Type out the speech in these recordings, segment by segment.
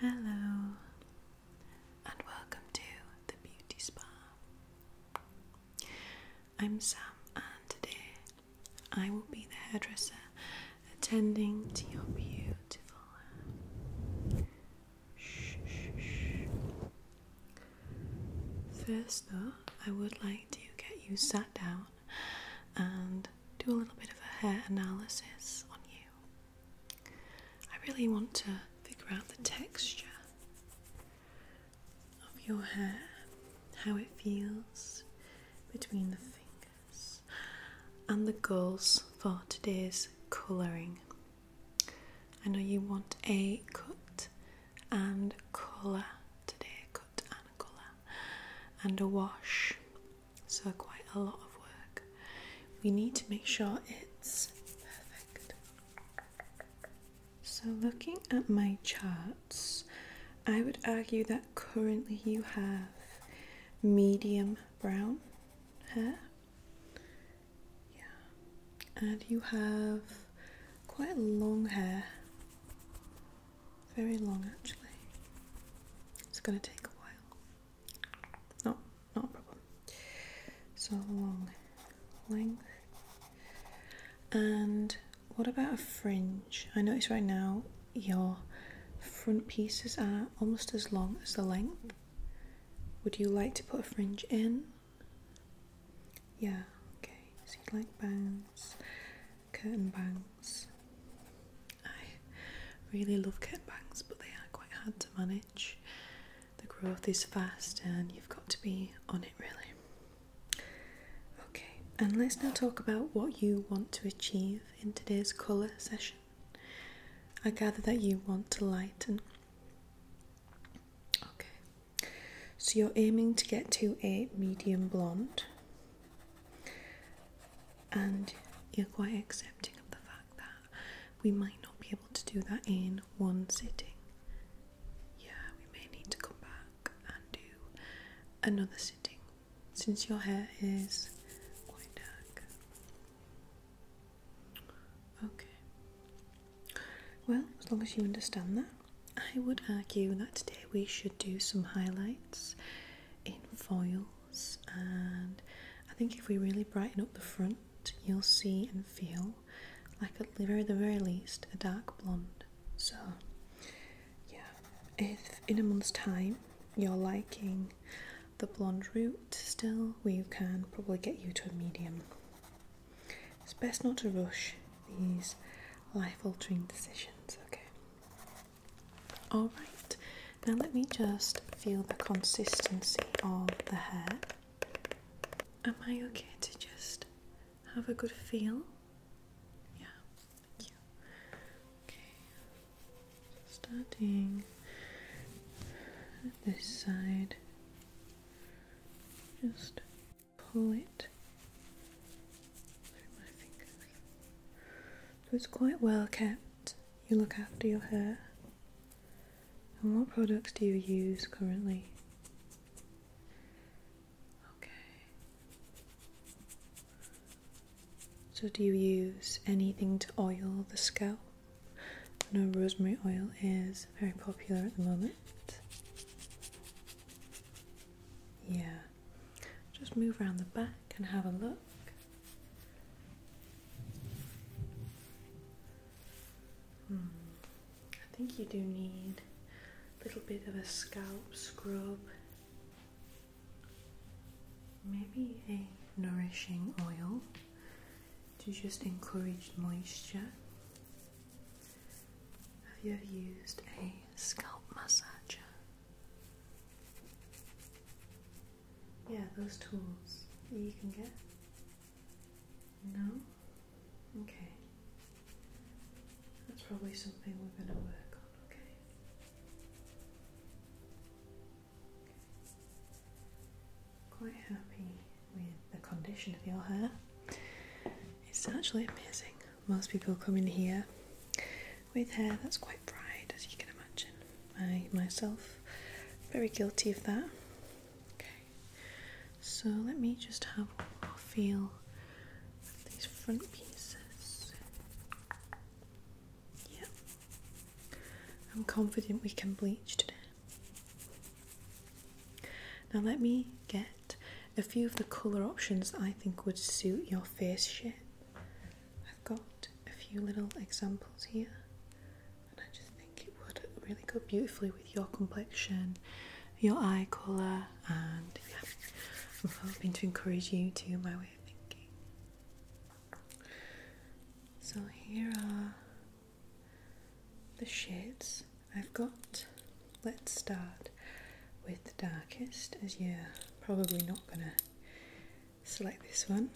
Hello, and welcome to the Beauty Spa. I'm Sam, and today I will be the hairdresser attending to your beautiful hair. First, though, I would like to get you sat down and do a little bit of a hair analysis on you. I really want to figure out the texture of your hair, how it feels between the fingers and the goals for today's colouring. I know you want a cut and colour today, a cut and a colour, and a wash, so quite a lot of work. We need to make sure it's perfect. So, looking at my chart. I would argue that currently you have medium brown hair. Yeah, and you have quite long hair, very long actually. It's going to take a while. Not, not a problem. So long length. And what about a fringe? I notice right now your front pieces are almost as long as the length. Would you like to put a fringe in? Yeah, okay. So you like bangs, curtain bangs. I really love curtain bangs, but they are quite hard to manage. The growth is fast and you've got to be on it really. Okay, and let's now talk about what you want to achieve in today's colour session. I gather that you want to lighten. Okay, so you're aiming to get to a medium blonde, and you're quite accepting of the fact that we might not be able to do that in one sitting. Yeah, we may need to come back and do another sitting since your hair is quite dark. Okay. Well, as long as you understand that, I would argue that today we should do some highlights in foils, and I think if we really brighten up the front, you'll see and feel like at the very, the very least a dark blonde. So, yeah, if in a month's time you're liking the blonde route still, we can probably get you to a medium. It's best not to rush these life altering decisions, okay? Alright, now let me just feel the consistency of the hair. Am I okay to just have a good feel? Yeah, Thank you. Okay. starting at this side, just pull it So it's quite well kept. You look after your hair. And what products do you use currently? Okay. So, do you use anything to oil the scalp? No, rosemary oil is very popular at the moment. Yeah, just move around the back and have a look. Hmm. I think you do need a little bit of a scalp scrub Maybe a nourishing oil to just encourage moisture. Have you ever used a scalp massager? Yeah, those tools you can get. No? Okay. That's probably something we're going to work on, okay? Quite happy with the condition of your hair. It's actually amazing. Most people come in here with hair that's quite fried, as you can imagine. I myself very guilty of that. Okay, so let me just have a feel these front pieces. Yeah. I'm confident we can bleach today. Now let me get a few of the colour options I think would suit your face shape. I've got a few little examples here and I just think it would really go beautifully with your complexion, your eye colour, and yeah, I'm hoping to encourage you to my way of thinking. So here are the shades I've got. Let's start with the darkest, as you're probably not gonna select this one.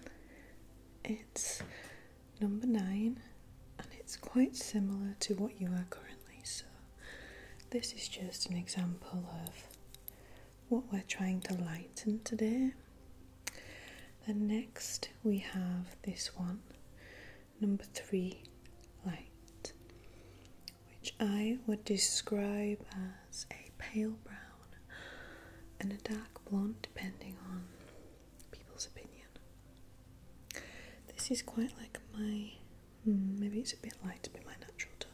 It's number nine, and it's quite similar to what you are currently. So, this is just an example of what we're trying to lighten today. Then next we have this one, number three light, which I would describe as a pale brown and a dark blonde, depending on people's opinion. This is quite like my Hmm, maybe it's a bit light to be my natural tone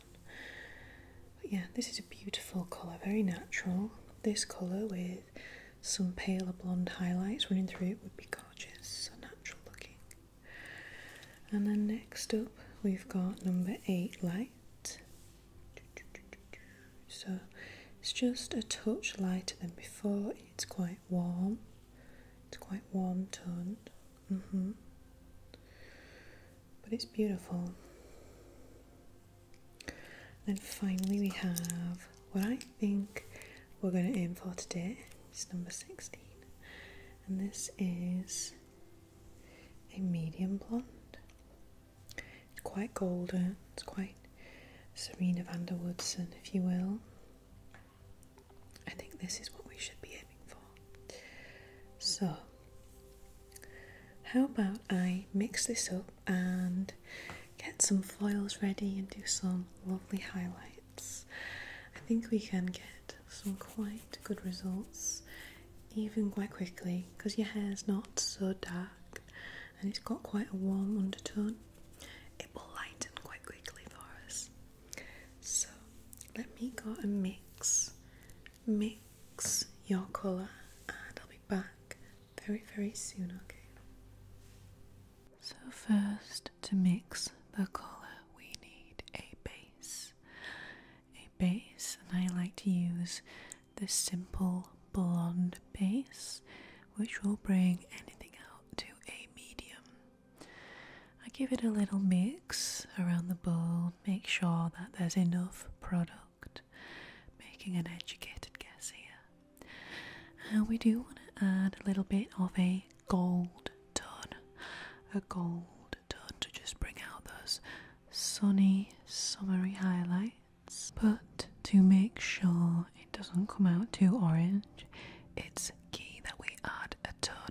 but yeah this is a beautiful colour very natural this colour with some paler blonde highlights running through it would be gorgeous so natural looking and then next up we've got number eight light so it's just a touch lighter than before it's quite warm it's quite warm toned -hmm but it's beautiful. Then finally, we have what I think we're going to aim for today. It's number 16, and this is a medium blonde. It's quite golden, it's quite Serena van der Woodson, if you will. I think this is what we should be aiming for. So, how about I mix this up and get some foils ready and do some lovely highlights? I think we can get some quite good results even quite quickly because your hair's not so dark and it's got quite a warm undertone. It will lighten quite quickly for us. So, let me go and mix mix your colour and I'll be back very, very soon, okay? So, first, to mix the colour, we need a base. A base, and I like to use the simple blonde base, which will bring anything out to a medium. I give it a little mix around the bowl, make sure that there's enough product. Making an educated guess here. And we do want to add a little bit of a gold tone, a gold tone to just bring out those sunny, summery highlights, but to make sure it doesn't come out too orange. It's key that we add a toner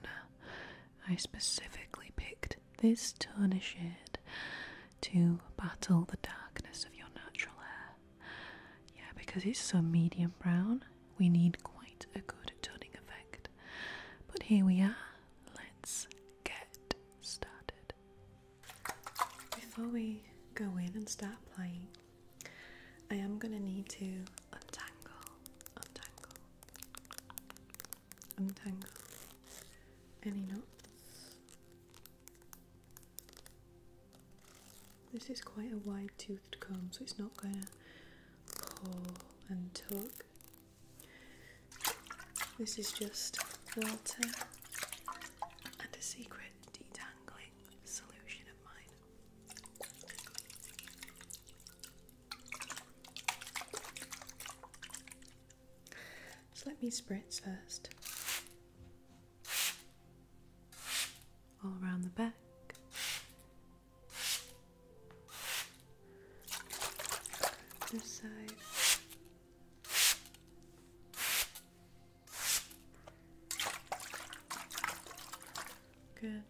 I specifically picked this toner shade to battle the darkness of your natural hair. Yeah, because it's so medium brown, we need quite a good toning effect. But here we are, let's get started. Before we go in and start applying, I am going to need to untangle, untangle, untangle any knots. This is quite a wide toothed comb, so it's not going to pull and tug. This is just water and a secret detangling solution of mine. Just let me spritz first. All around the back. This side. Good.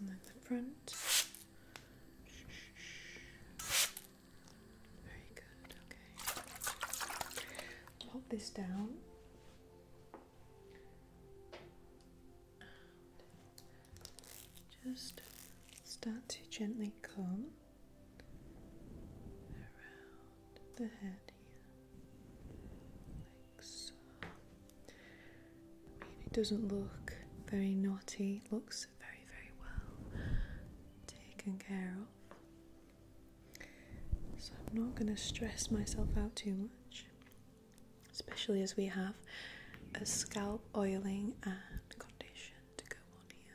And then the front. Very good, okay. Pop this down. And just start to gently comb around the head here, like so. it doesn't look very naughty, it looks very, very well taken care of. So, I'm not going to stress myself out too much, especially as we have a scalp oiling and condition to go on here.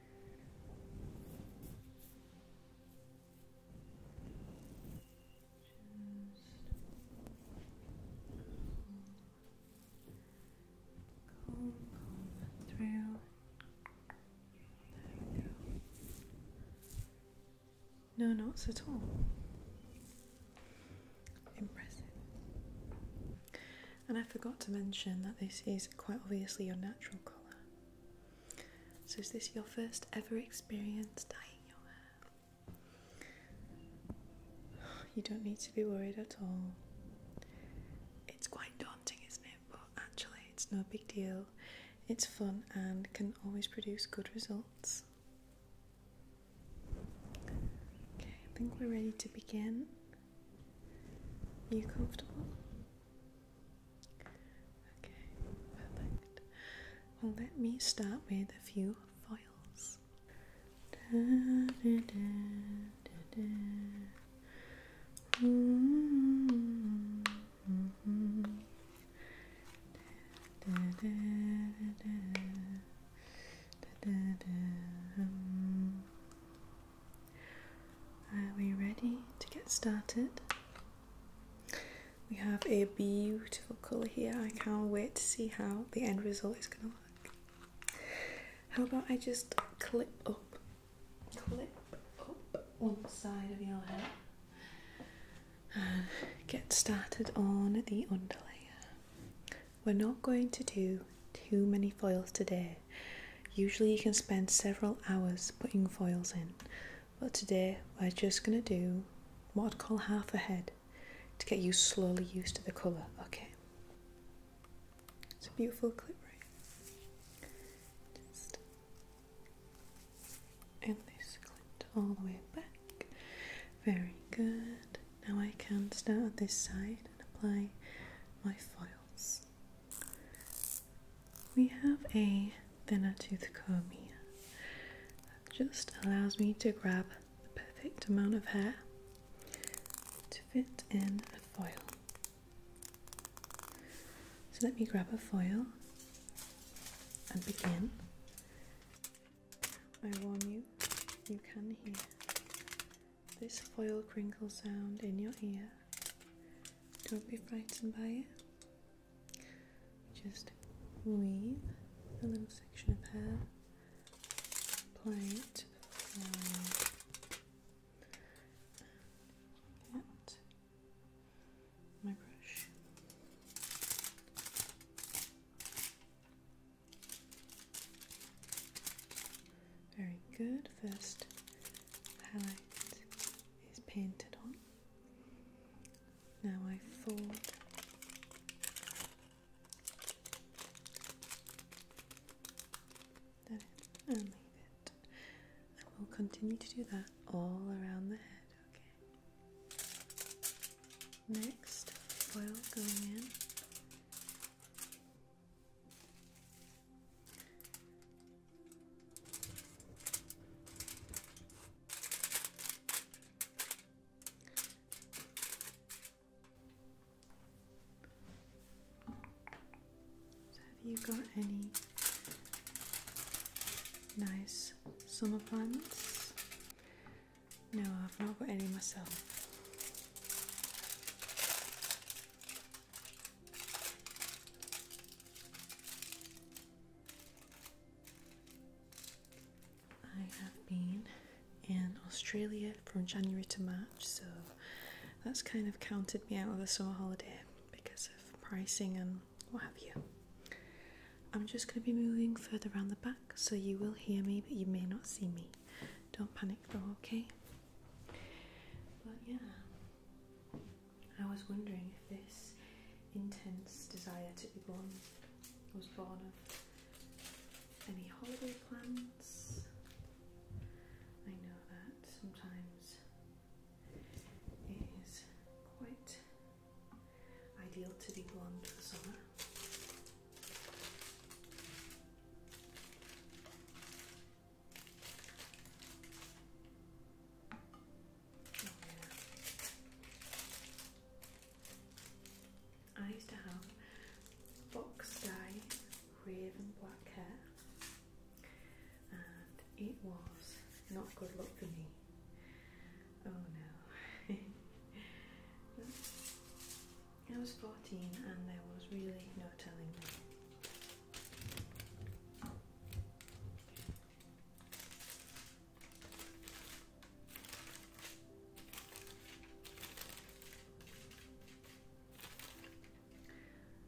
No knots at all. Impressive. And I forgot to mention that this is quite obviously your natural colour. So, is this your first ever experience dyeing your hair? You don't need to be worried at all. It's quite daunting, isn't it? But actually, it's no big deal. It's fun and can always produce good results. Okay, I think we're ready to begin you comfortable? Okay, perfect. Well, let me start with a few foils. Are we ready to get started? We have a beautiful colour here. I can't wait to see how the end result is going to look. How about I just clip up, clip up one side of your hair and get started on the underlayer. We're not going to do too many foils today. Usually, you can spend several hours putting foils in, but today we're just going to do what I'd call half a head to get you slowly used to the colour, okay? It's a beautiful clip, right? Just in this clip all the way back. Very good. Now I can start this side and apply my foil. We have a thinner tooth comb that just allows me to grab the perfect amount of hair to fit in a foil. So let me grab a foil and begin. I warn you, you can hear this foil crinkle sound in your ear. Don't be frightened by it. Just weave a little section of hair, apply it to my brush. Very good. First highlight is painted on. Now I thought that in it. And we'll continue to do that all around the head, okay? Next, foil going in have you got any nice summer plants? No, I've not got any myself. I have been in Australia from January to March, so that's kind of counted me out of a summer holiday because of pricing and what have you. I'm just going to be moving further around the back, so you will hear me, but you may not see me. Don't panic though, okay? But yeah, I was wondering if this intense desire to be born was born of any holiday plans. I know that sometimes it is quite ideal to be blonde for summer. Oh, I used to have Fox dye raven black hair and it was not good luck for me. Oh no. I was 14 and there was really no telling me.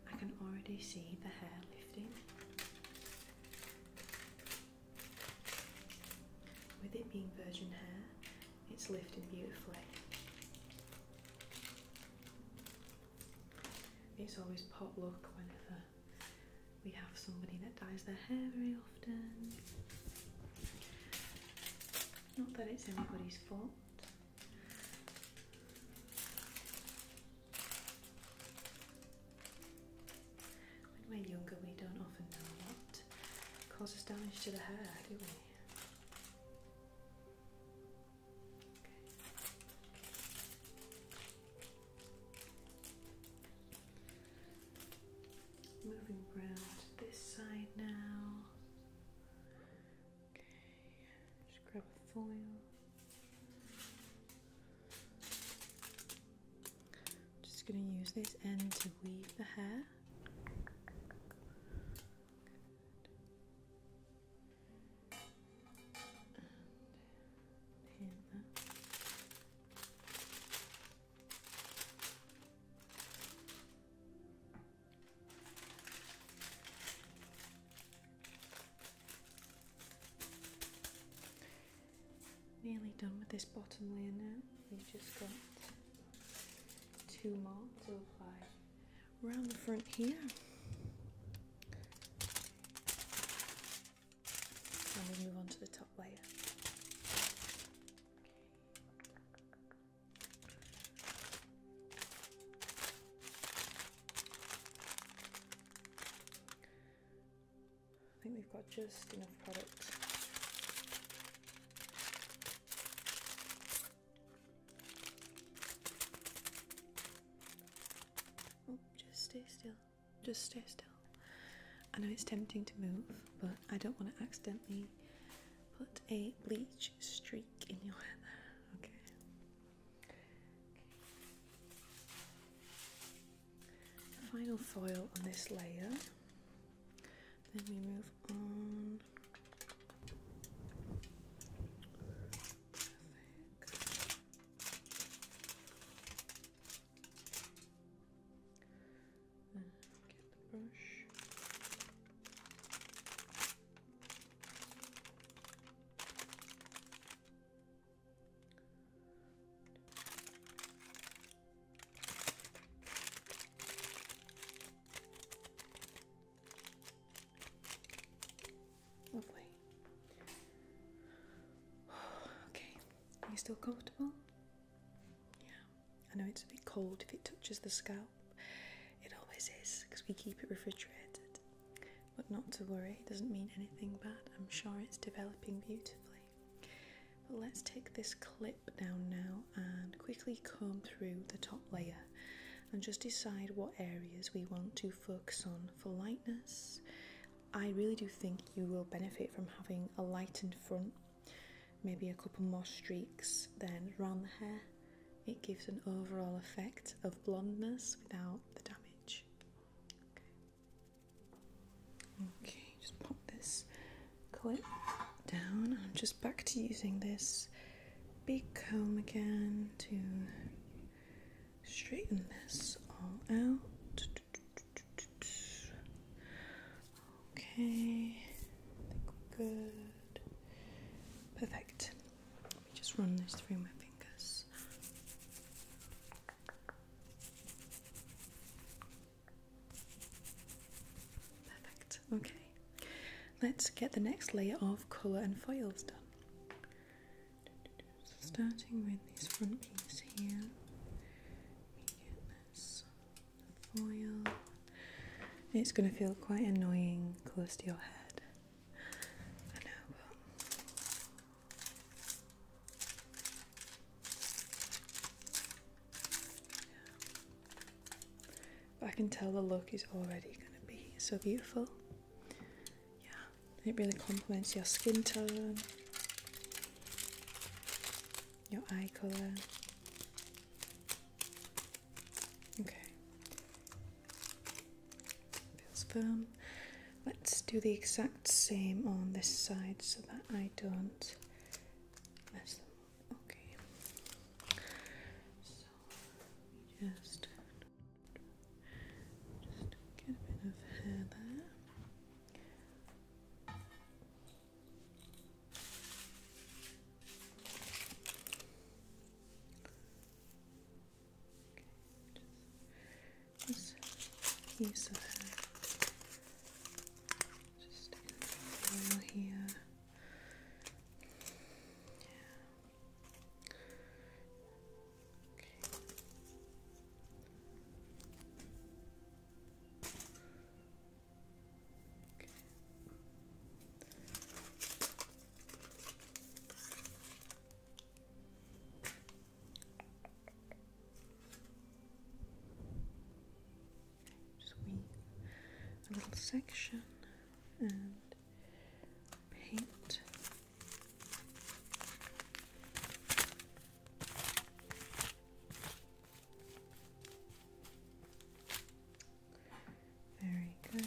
I can already see the hair lifting. With it being virgin hair, it's lifting beautifully. It's always potluck whenever we have somebody that dyes their hair very often. Not that it's everybody's fault. When we're younger, we don't often know what causes damage to the hair, do we? Moving round this side now. Okay, just grab a foil. Just going to use this end to weave the hair. Nearly done with this bottom layer now. We've just got two more, so apply around the front here. And we move on to the top layer. I think we've got just enough product Oh, just stay still. Just stay still. I know it's tempting to move, but I don't want to accidentally put a bleach streak in your hair. Okay. final foil on this layer. Then we move on. Perfect. Uh, get the brush. Okay. Okay, are you still comfortable? Yeah, I know it's a bit cold if it touches the scalp. It always is because we keep it refrigerated. But not to worry, it doesn't mean anything bad. I'm sure it's developing beautifully. But let's take this clip down now and quickly comb through the top layer and just decide what areas we want to focus on for lightness. I really do think you will benefit from having a lightened front, maybe a couple more streaks then around the hair. It gives an overall effect of blondness without the damage. Okay, okay just pop this clip down. I'm just back to using this big comb again to straighten this all out. Okay, good. Perfect. Let me just run this through my fingers. Perfect. Okay let's get the next layer of colour and foils done. starting with this front piece here, we foil. It's going to feel quite annoying close to your head. I know, I can tell the look is already going to be so beautiful. Yeah, it really complements your skin tone, your eye colour. Okay, feels firm. Let's do the exact same on this side so that I don't mess up. Okay, so just. Just get a bit of hair there. just this piece of hair. Just a little here. Just a little section and paint. Very good.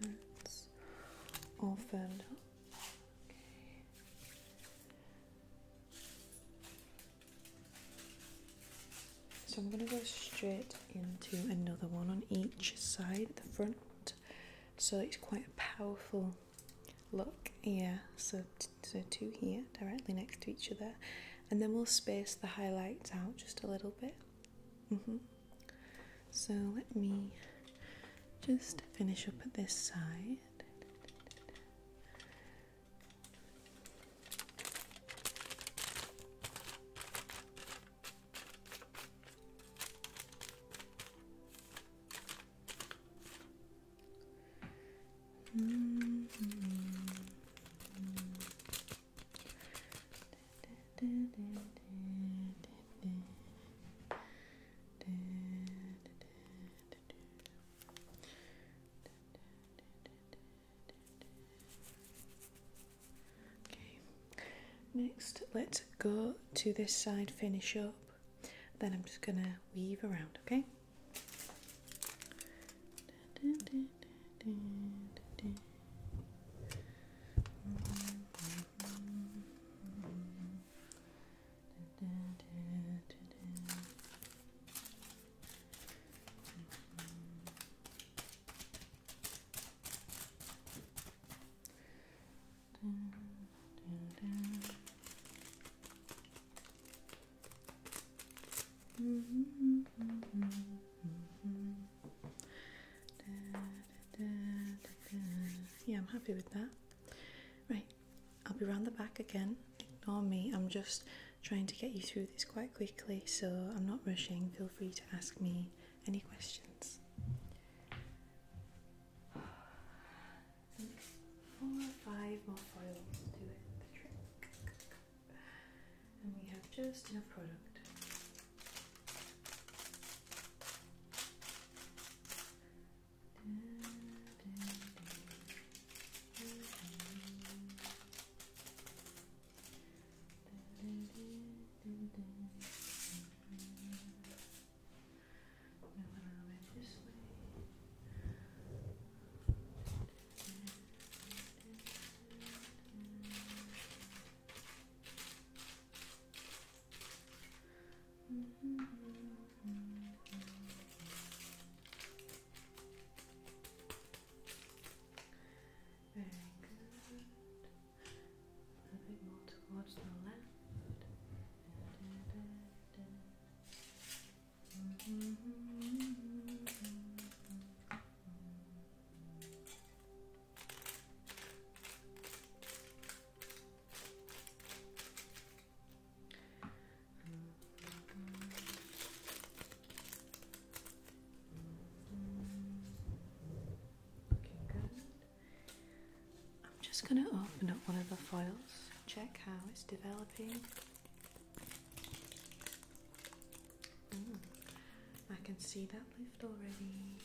That's all fed so I'm going to go straight into another one on each side at the front. So it's quite a powerful look. Yeah, so, so two here directly next to each other. And then we'll space the highlights out just a little bit. Mm-hmm. So let me just finish up this side. Mm-hmm. Okay, next let's go to this side, finish up, then I'm just gonna weave around, okay. Yeah, I'm happy with that. Right, I'll be round the back again. Ignore me, I'm just trying to get you through this quite quickly, so I'm not rushing. Feel free to ask me any questions. four five more foils do the trick. And we have just enough product a little very good. A bit more towards the left. Mm-hmm. I'm just going to open up one of the foils, check how it's developing. Mm, I can see that lift already.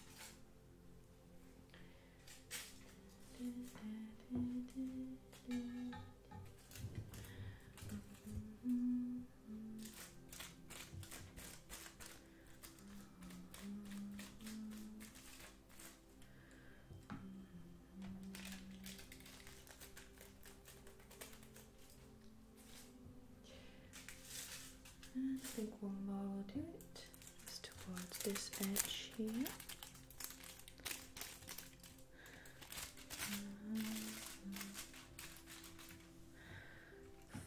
I think we'll all do it towards this edge here.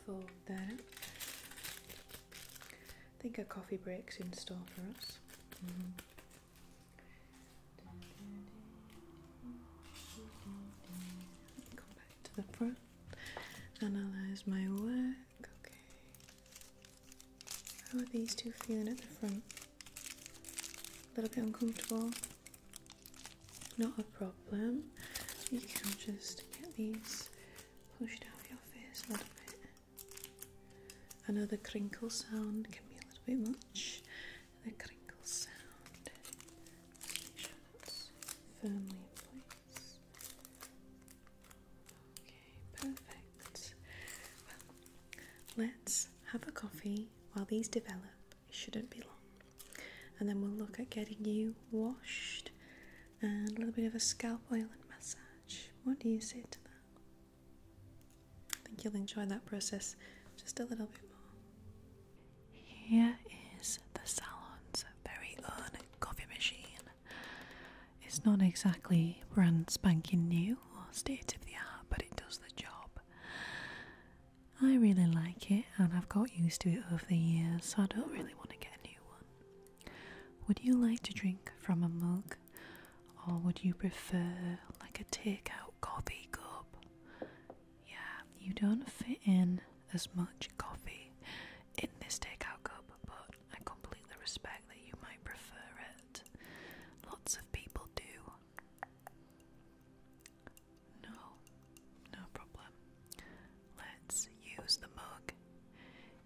Fold that up. think a coffee break's in store for us. Come back to the front. Analyze my work. Okay. How are these two feeling at the front? A little bit uncomfortable? Not a problem. You can just get these pushed out of your face a little bit. I crinkle sound can be a little bit much. The crinkle sound. firmly in place perfect. let's have a coffee while these develop. It shouldn't be long. And then we'll look at getting you washed and a little bit of a scalp oil and massage. What do you say to that? I think you'll enjoy that process just a little bit more. Here is the salon's very own coffee machine. It's not exactly brand spanking new or state of the art, but it does the job. I really like it and I've got used to it over the years, so I don't really want to get a new one. Would you like to drink from a mug or would you prefer like a takeout coffee cup? Yeah, you don't fit in as much coffee in this takeout cup, but I completely respect that you might prefer it. Lots of people do. No, no problem. Let's use the mug.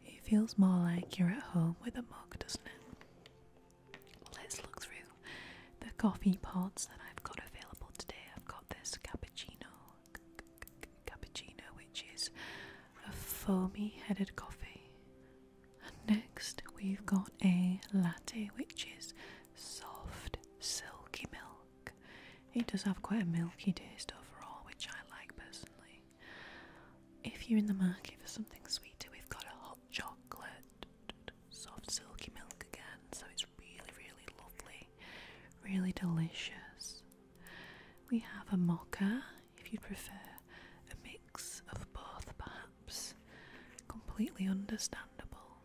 It feels more like you're at home with a mug, doesn't it? Let's look through the coffee pots that I've got available today. I've got this cappuccino cappuccino, which is a foamy headed coffee. And next, we've got a latte, which is soft, silky milk. It does have quite a milky taste overall, which I like personally. If you're in the market for something sweeter, we've got a hot chocolate, soft, silky milk again, so it's really, really lovely, really delicious. We have a mocha if you'd prefer a mix of both, perhaps. Completely understandable.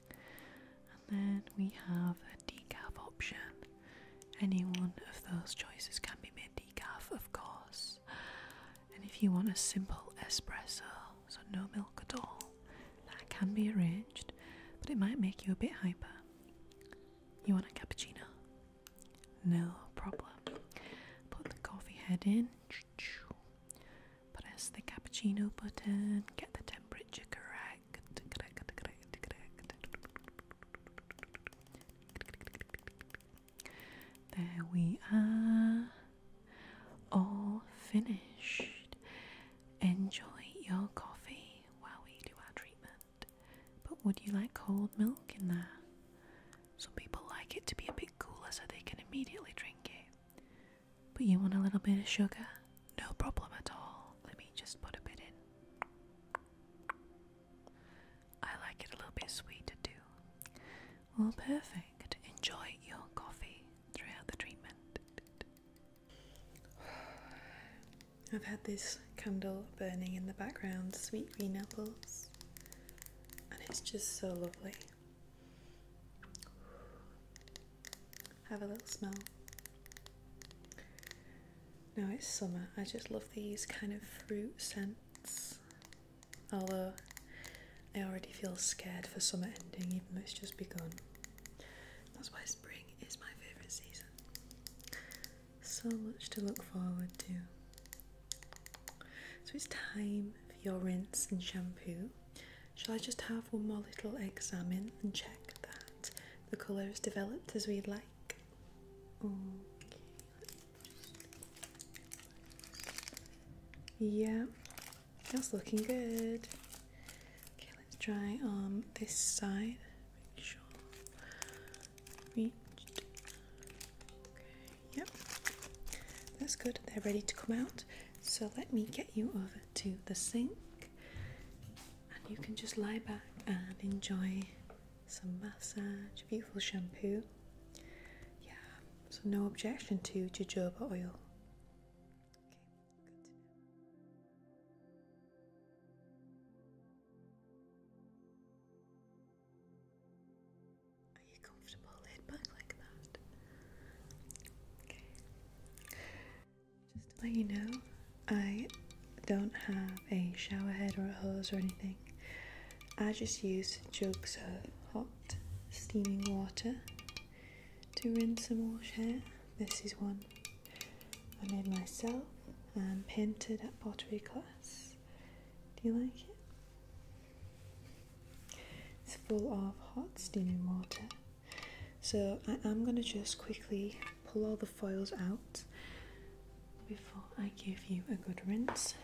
And then we have a decaf option. Any one of those choices can be made decaf, of course. And if you want a simple espresso, so no milk at all, that can be arranged, but it might make you a bit hyper. You want a cappuccino? No problem. Put the coffee head in, press the cappuccino button, get the temperature correct, correct. There we are, all finished. Enjoy your coffee while we do our treatment. But would you like cold milk in there? Some people like it to be a bit cooler so they can immediately drink it. But you want a little bit of sugar? No problem at all. Let me just put a bit in. I like it a little bit sweeter too. Well, perfect. Enjoy your coffee throughout the treatment. I've had this candle burning in the background, sweet green apples, and it's just so lovely. Have a little smell. Now it's summer, I just love these kind of fruit scents. Although I already feel scared for summer ending, even though it's just begun. That's why spring is my favourite season. So much to look forward to. So it's time for your rinse and shampoo. Shall I just have one more little examine and check that the colour is developed as we'd like? Okay. Yeah, that's looking good. Okay, let's try on this side. Make sure yep, that's good. They're ready to come out. So let me get you over to the sink, and you can just lie back and enjoy some massage, beautiful shampoo. Yeah, so no objection to jojoba oil. Are you comfortable laid back like that? Just to let you know, I don't have a shower head or a hose or anything. I just use jugs of hot steaming water to rinse and wash hair. This is one I made myself and painted at pottery class. Do you like it? It's full of hot steaming water. So I am going to just quickly pull all the foils out before I give you a good rinse.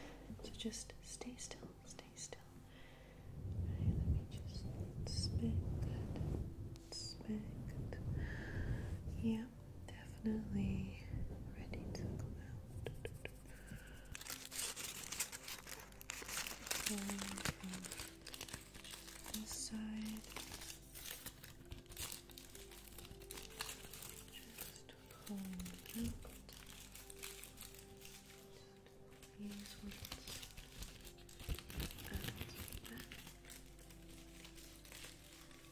So just stay still, stay still. let me just spit spit Yeah, definitely ready to come out. this side, just pull out. These ones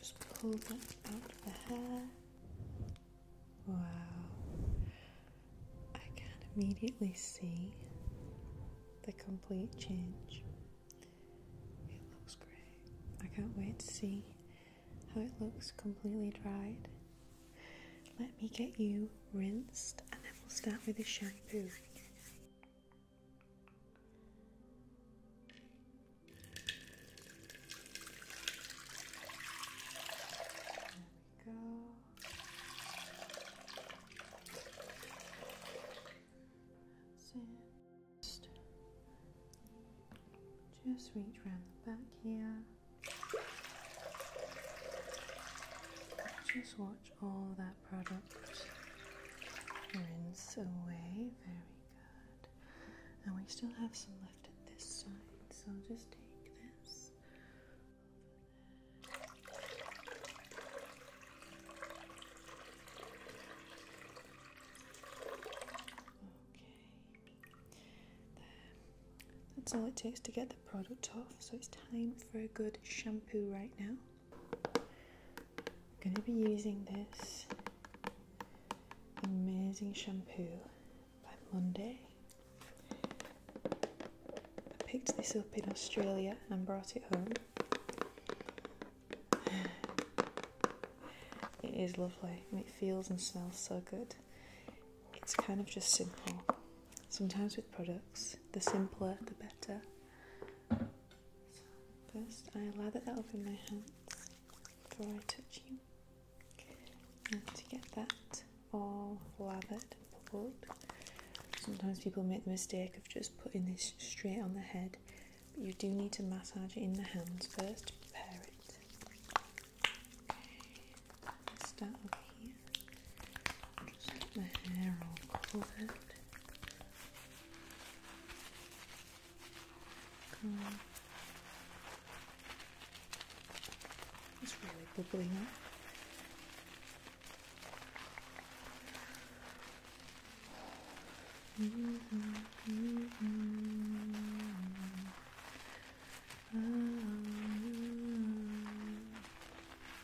Just pull that out of the hair. Wow. I can immediately see the complete change. It looks great. I can't wait to see how it looks completely dried. Let me get you rinsed and then we'll start with the shampoo. Just, just reach around the back here. Just watch all that product rinse away. Very good. And we still have some left at this side, so just take this Okay. That's all it takes to get the product off, so it's time for a good shampoo right now. I'm going to be using this amazing shampoo by Monday. I picked this up in Australia and brought it home. It is lovely and it feels and smells so good. It's kind of just simple. Sometimes with products, the simpler the better. First, I lather that up in my hands before I touch you. And to get that all lathered and pulled, sometimes people make the mistake of just putting this straight on the head, but you do need to massage it in the hands first to prepare it. start just get the hair all covered. It's really bubbling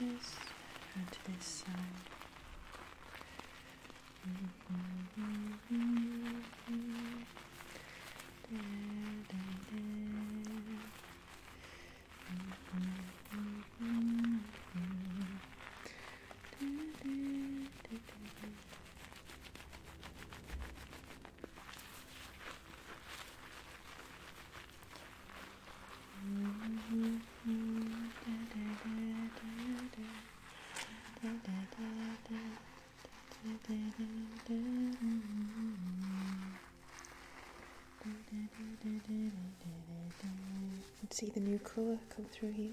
Yes, and to this side. And see the new color come through here.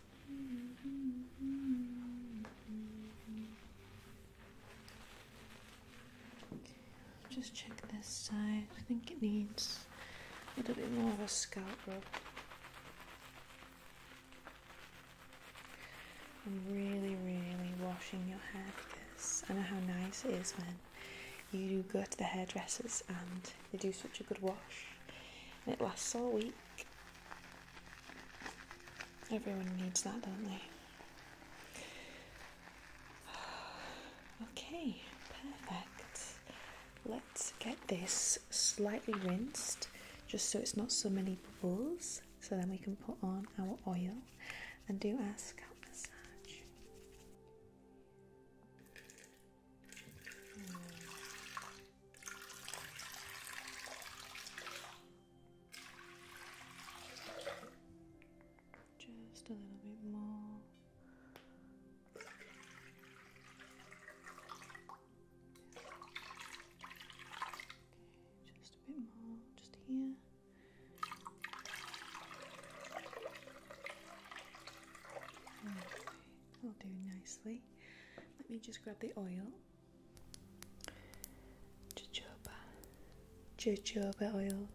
Just check this side. I think it needs a little bit more of a scalp rub. I'm really, really washing your hair because I know how nice it is when you go to the hairdressers and they do such a good wash and it lasts all week Everyone needs that, don't they? Okay, perfect. Let's get this slightly rinsed just so it's not so many bubbles. So then we can put on our oil and do our scalp massage. Just a little bit more. Okay, just a bit more, just here. Okay. That'll do nicely. Let me just grab the oil. Jojoba. Jojoba oil.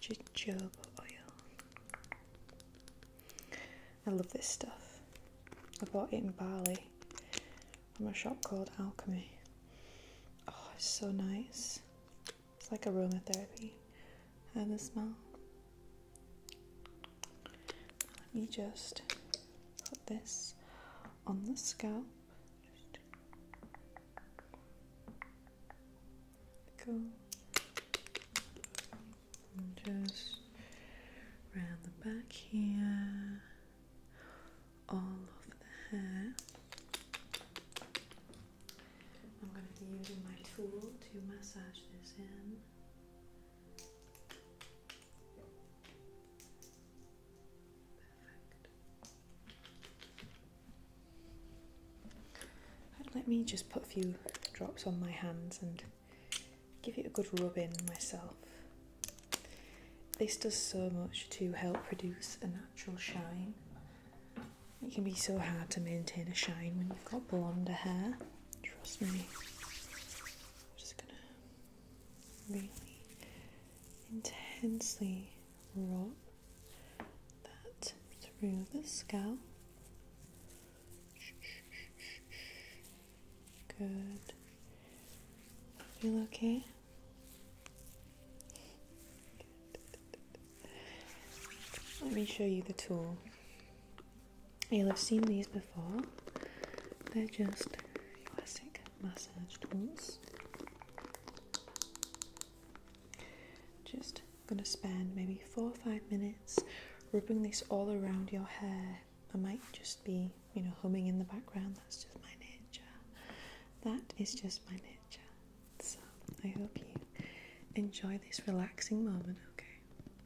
Jojoba oil. I love this stuff. I bought it in Bali from a shop called Alchemy. Oh, it's so nice. It's like aromatherapy. And the smell. Let me just put this on the scalp. Just round the back here, all over the hair. I'm going to be using my tool to massage this in let me just put a few drops on my hands and give it a good rub in myself. This does so much to help produce a natural shine. It can be so hard to maintain a shine when you've got blonde hair, trust me. I'm just gonna really intensely rub that through the scalp. Good. Feel okay? Let me show you the tool. You'll have seen these before. They're just classic massage tools. Just gonna spend maybe four or five minutes rubbing this all around your hair. I might just be, you know, humming in the background. That's just my nature. That is just my nature. So I hope you enjoy this relaxing moment, okay?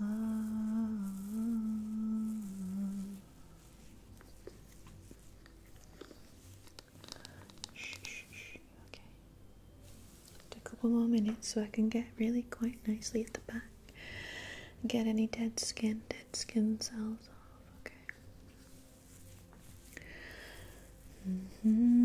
Um, Okay. Just a couple more minutes so I can get really quite nicely at the back. Get any dead skin, dead skin cells off. Okay. Mm hmm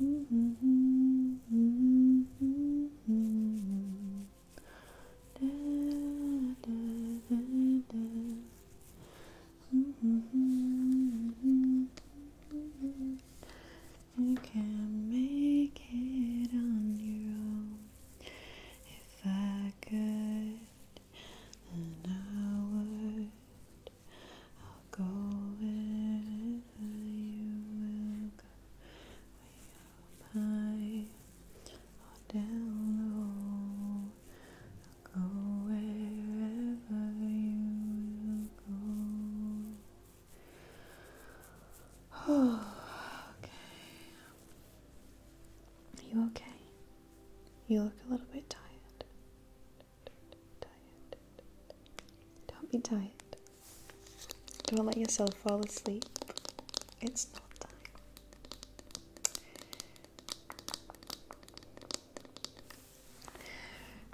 You can make it on your own. If I could, then I would. I'll go wherever you will go way up high or down low. go wherever you go. Oh, okay. You okay? You look a little bit Tired. Don't be tired. Don't let yourself fall asleep. It's not time.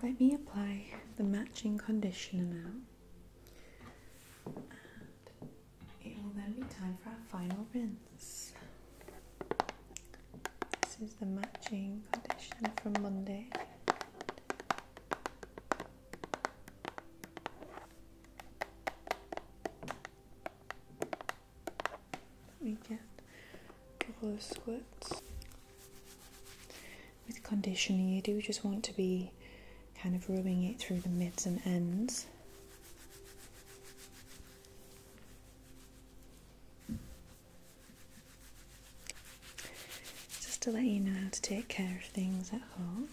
Let me apply the matching conditioner now. it will then be time for our final rinse. This is the matching conditioner from Monday. Let me get a With conditioning, you do just want to be kind of rubbing it through the mids and ends. Just to let you know how to take care of things at home.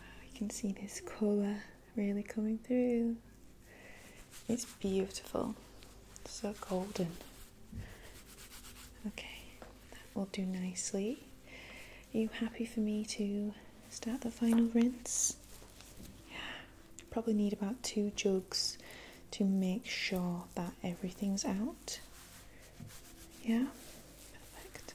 Wow, you can see this colour really coming through. It's beautiful, so golden. Okay, that will do nicely. Are you happy for me to start the final rinse? Yeah, probably need about two jugs to make sure that everything's out. Yeah, perfect.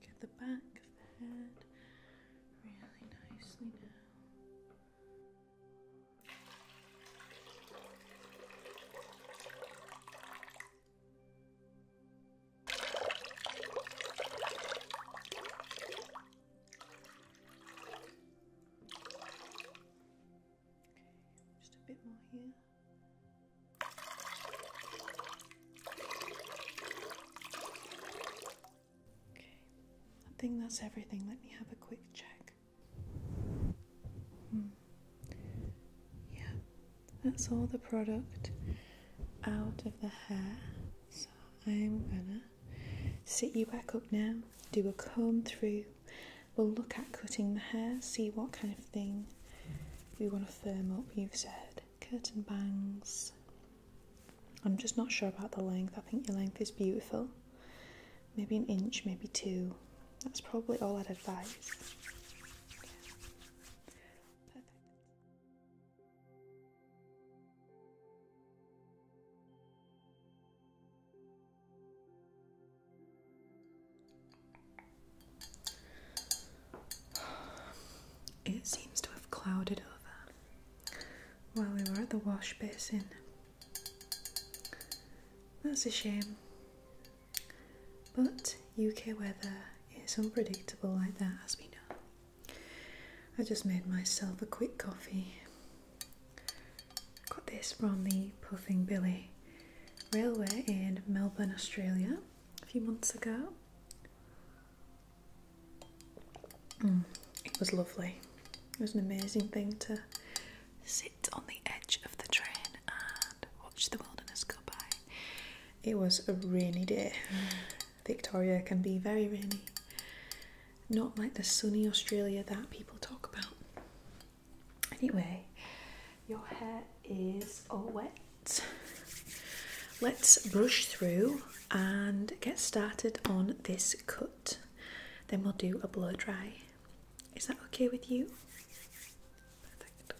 Just get the back of the head really nicely now. Just a bit more here. Okay, I think that's everything. Let me have a quick check. Hmm. Yeah, that's all the product out of the hair. So I'm gonna sit you back up now, do a comb through. We'll look at cutting the hair, see what kind of thing we want to firm up. You've said curtain bangs. I'm just not sure about the length. I think your length is beautiful maybe an inch, maybe two. That's probably all I'd advise. Perfect. It seems to have clouded over while we were at the wash basin. That's a shame. But UK weather is unpredictable like that, as we know. I just made myself a quick coffee. Got this from the Puffing Billy Railway in Melbourne, Australia, a few months ago. Mm, it was lovely. It was an amazing thing to see on the edge of the train and watch the wilderness go by. It was a rainy day. Mm. Victoria can be very rainy. Not like the sunny Australia that people talk about. Anyway, your hair is all wet. Let's brush through and get started on this cut. Then we'll do a blow dry. Is that okay with you? Perfect.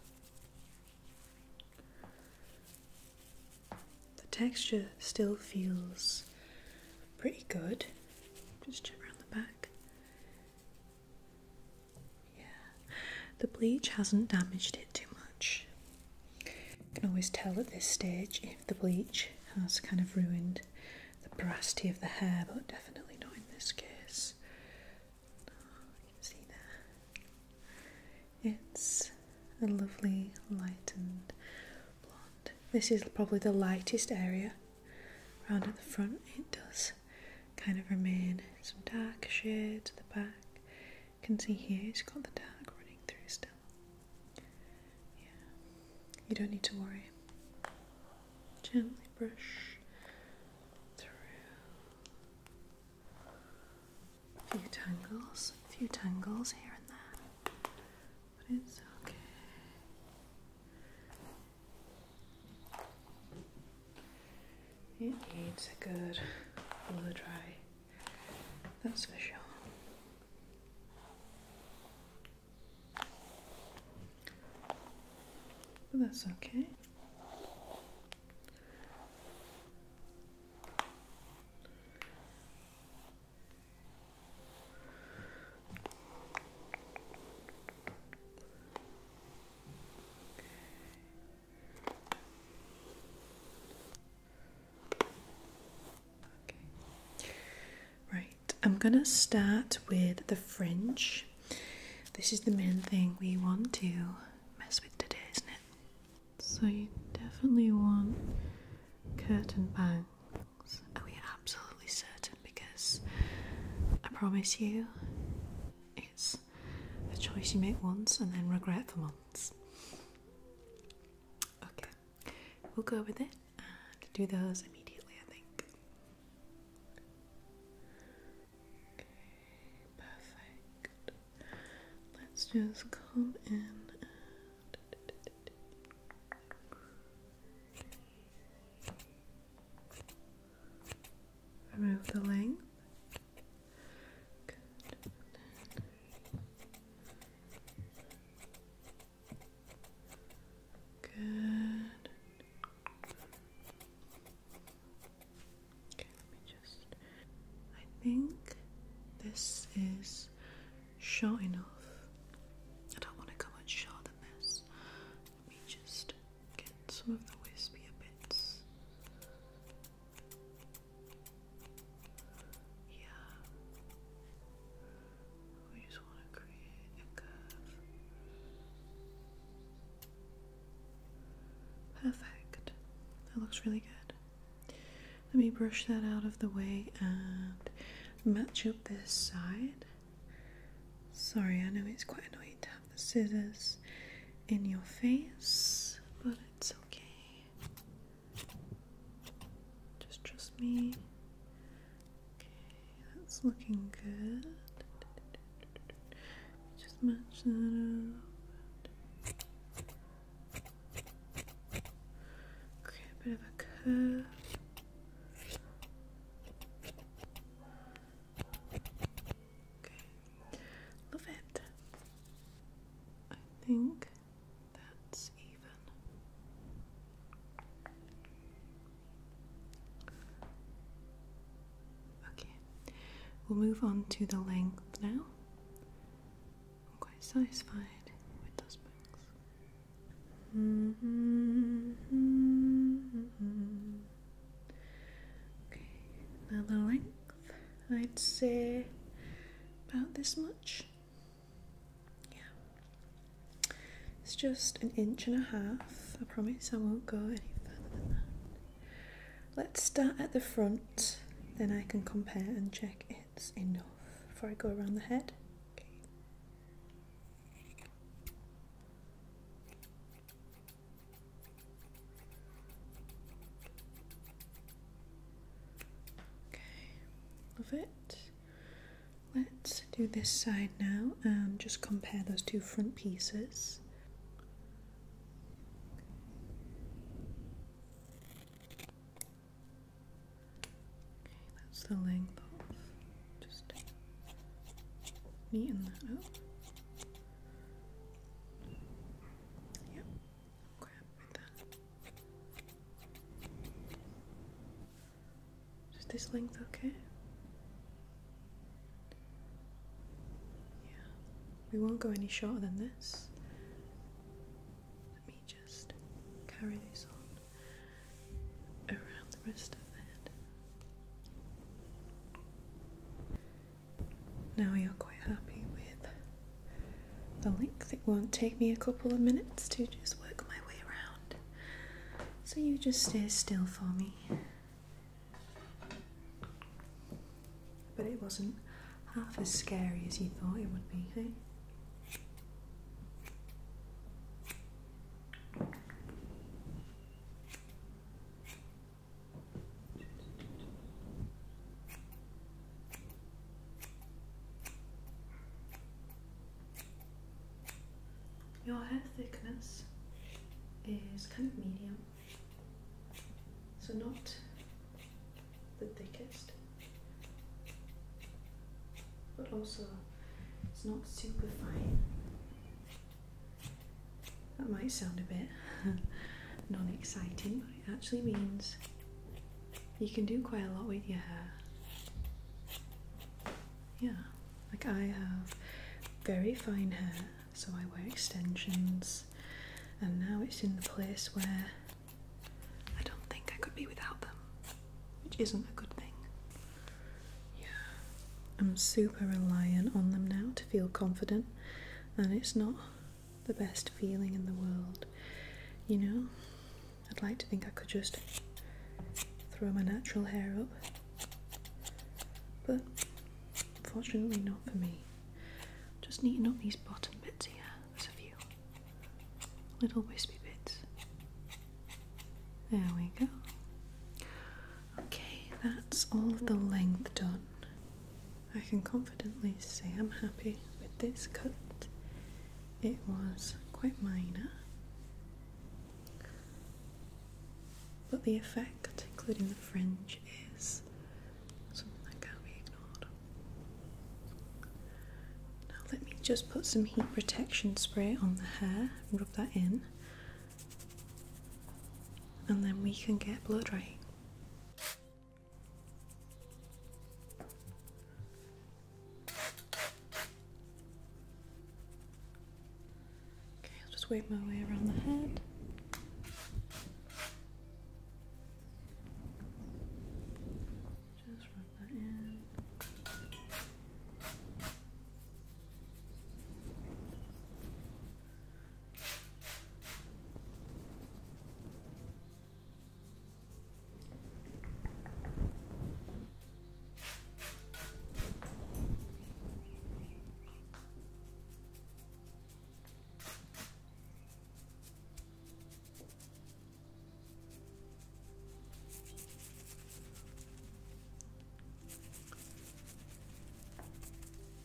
The texture still feels pretty good. Just check around the back. Yeah, the bleach hasn't damaged it too much. You can always tell at this stage if the bleach has kind of ruined the porosity of the hair, but definitely not in this case. see there. It's a lovely lightened blonde. This is probably the lightest area around at the front. It does kind of remain some darker shade to the back. You can see here it's got the dark running through still. Yeah, you don't need to worry gently brush through a few tangles, a few tangles here and there, but it's okay. It needs a good blow dry, that's for sure. But that's okay. Okay. Right. I'm gonna start with the fringe this is the main thing we want to mess with today isn't it so you definitely want curtain bangs are we absolutely certain because I promise you it's a choice you make once and then regret for months okay we'll go with it and do those immediately I think Okay, perfect. Let's just come in remove the length. Good. Okay, let me just. I think this is short enough. I don't want to go much shorter than this. Let me just get some of the wispier bits. Yeah. Perfect. That looks really good. Let me brush that out of the way and match up this side. Sorry, I know it's quite annoying to have the scissors in your face, but it's okay. Just trust me. Okay, that's looking good. Just match that up. Create a bit of a curve. Okay, love it. I think that's even. Okay, we'll move on to the length now. I'm quite satisfied with those books. Okay, now the length, I'd say about this much. Yeah. It's just an inch and a half. I promise I won't go any further than that. Let's start at the front, then I can compare and check it's enough before I go around the head. Okay. love it let's do this side now and just compare those two front pieces. Okay, that's the length off. Just neaten Yep, is this length, okay? Yeah, we won't go any shorter than this. Let me just carry this on around the rest of the head. Now you're quite happy with the length. It won't take me a couple of minutes to just work my way around. So you just stay still for me. But it wasn't half as scary as you thought it would be, hey? Eh? Your hair thickness is kind of medium, so not the thickest, but also it's not super fine. That might sound a bit non exciting, but it actually means you can do quite a lot with your hair yeah like i have very fine hair so i wear extensions and now it's in the place where i don't think i could be without them which isn't a good thing yeah i'm super reliant on them now to feel confident and it's not the best feeling in the world you know i'd like to think i could just throw my natural hair up but fortunately, not for me. Just neaten up these bottom bits here. There's a few little wispy bits. There we go. Okay, that's all of the length done. I can confidently say I'm happy with this cut. It was quite minor, but the effect, including the fringe, is something that can't be ignored. Now let me just put some heat protection spray on the hair rub that in. And then we can get blow drying. Okay, I'll just weave my way around the head. Just rub that in.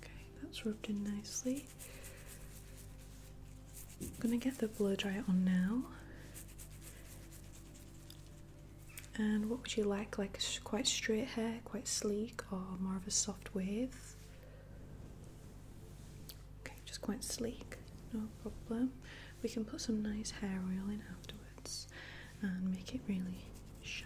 Okay, that's rubbed in nicely. I'm gonna get the blow dry on now. And what would you like? Like quite straight hair, quite sleek, or more of a soft wave? Okay, just quite sleek, no problem. We can put some nice hair oil in afterwards and make it really shiny.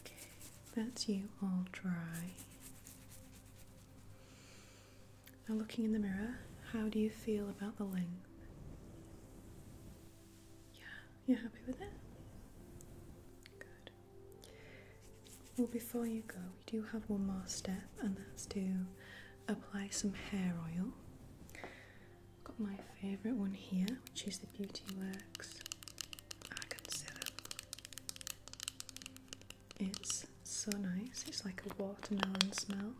Okay, that's you all dry. Now, looking in the mirror, how do you feel about the length? Yeah, you happy with it? Good. Well, before you go, we do have one more step, and that's to apply some hair oil. I've got my favourite one here, which is the Beauty Works Argan Serum. It's so nice, it's like a watermelon smell,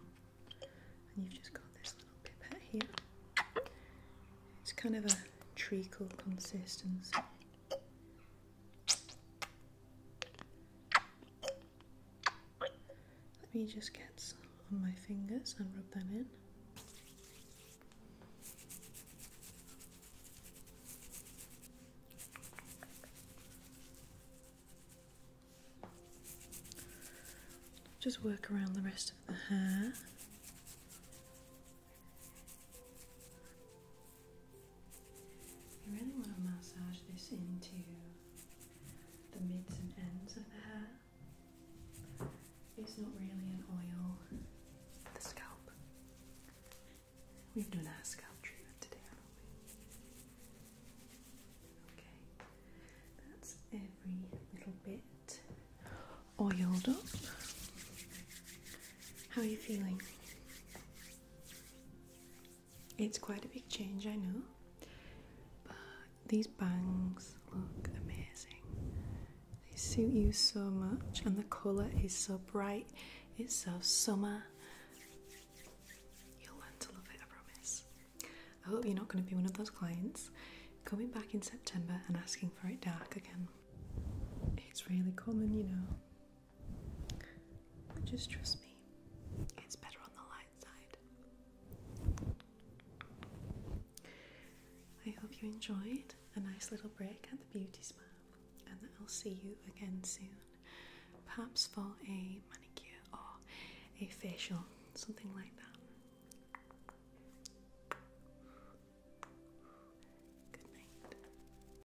and you've just got this little pipette here. It's kind of a treacle consistency. Let me just get some on my fingers and rub that in. Just work around the rest of the hair. You really want to massage this into the mids and ends of the hair. It's not really an oil for the scalp. We've done our scalp treatment today, haven't we? Okay, that's every little bit oiled up. How are you feeling? It's quite a big change, I know, but these bangs look amazing. They suit you so much, and the colour is so bright. It's so summer. You'll learn to love it, I promise. I hope you're not going to be one of those clients coming back in September and asking for it dark again. It's really common, you know. Just trust me, it's better on the light side. I hope you enjoyed a nice little break at the beauty spa, and I'll see you again soon. Perhaps for a manicure or a facial, something like that. Good night.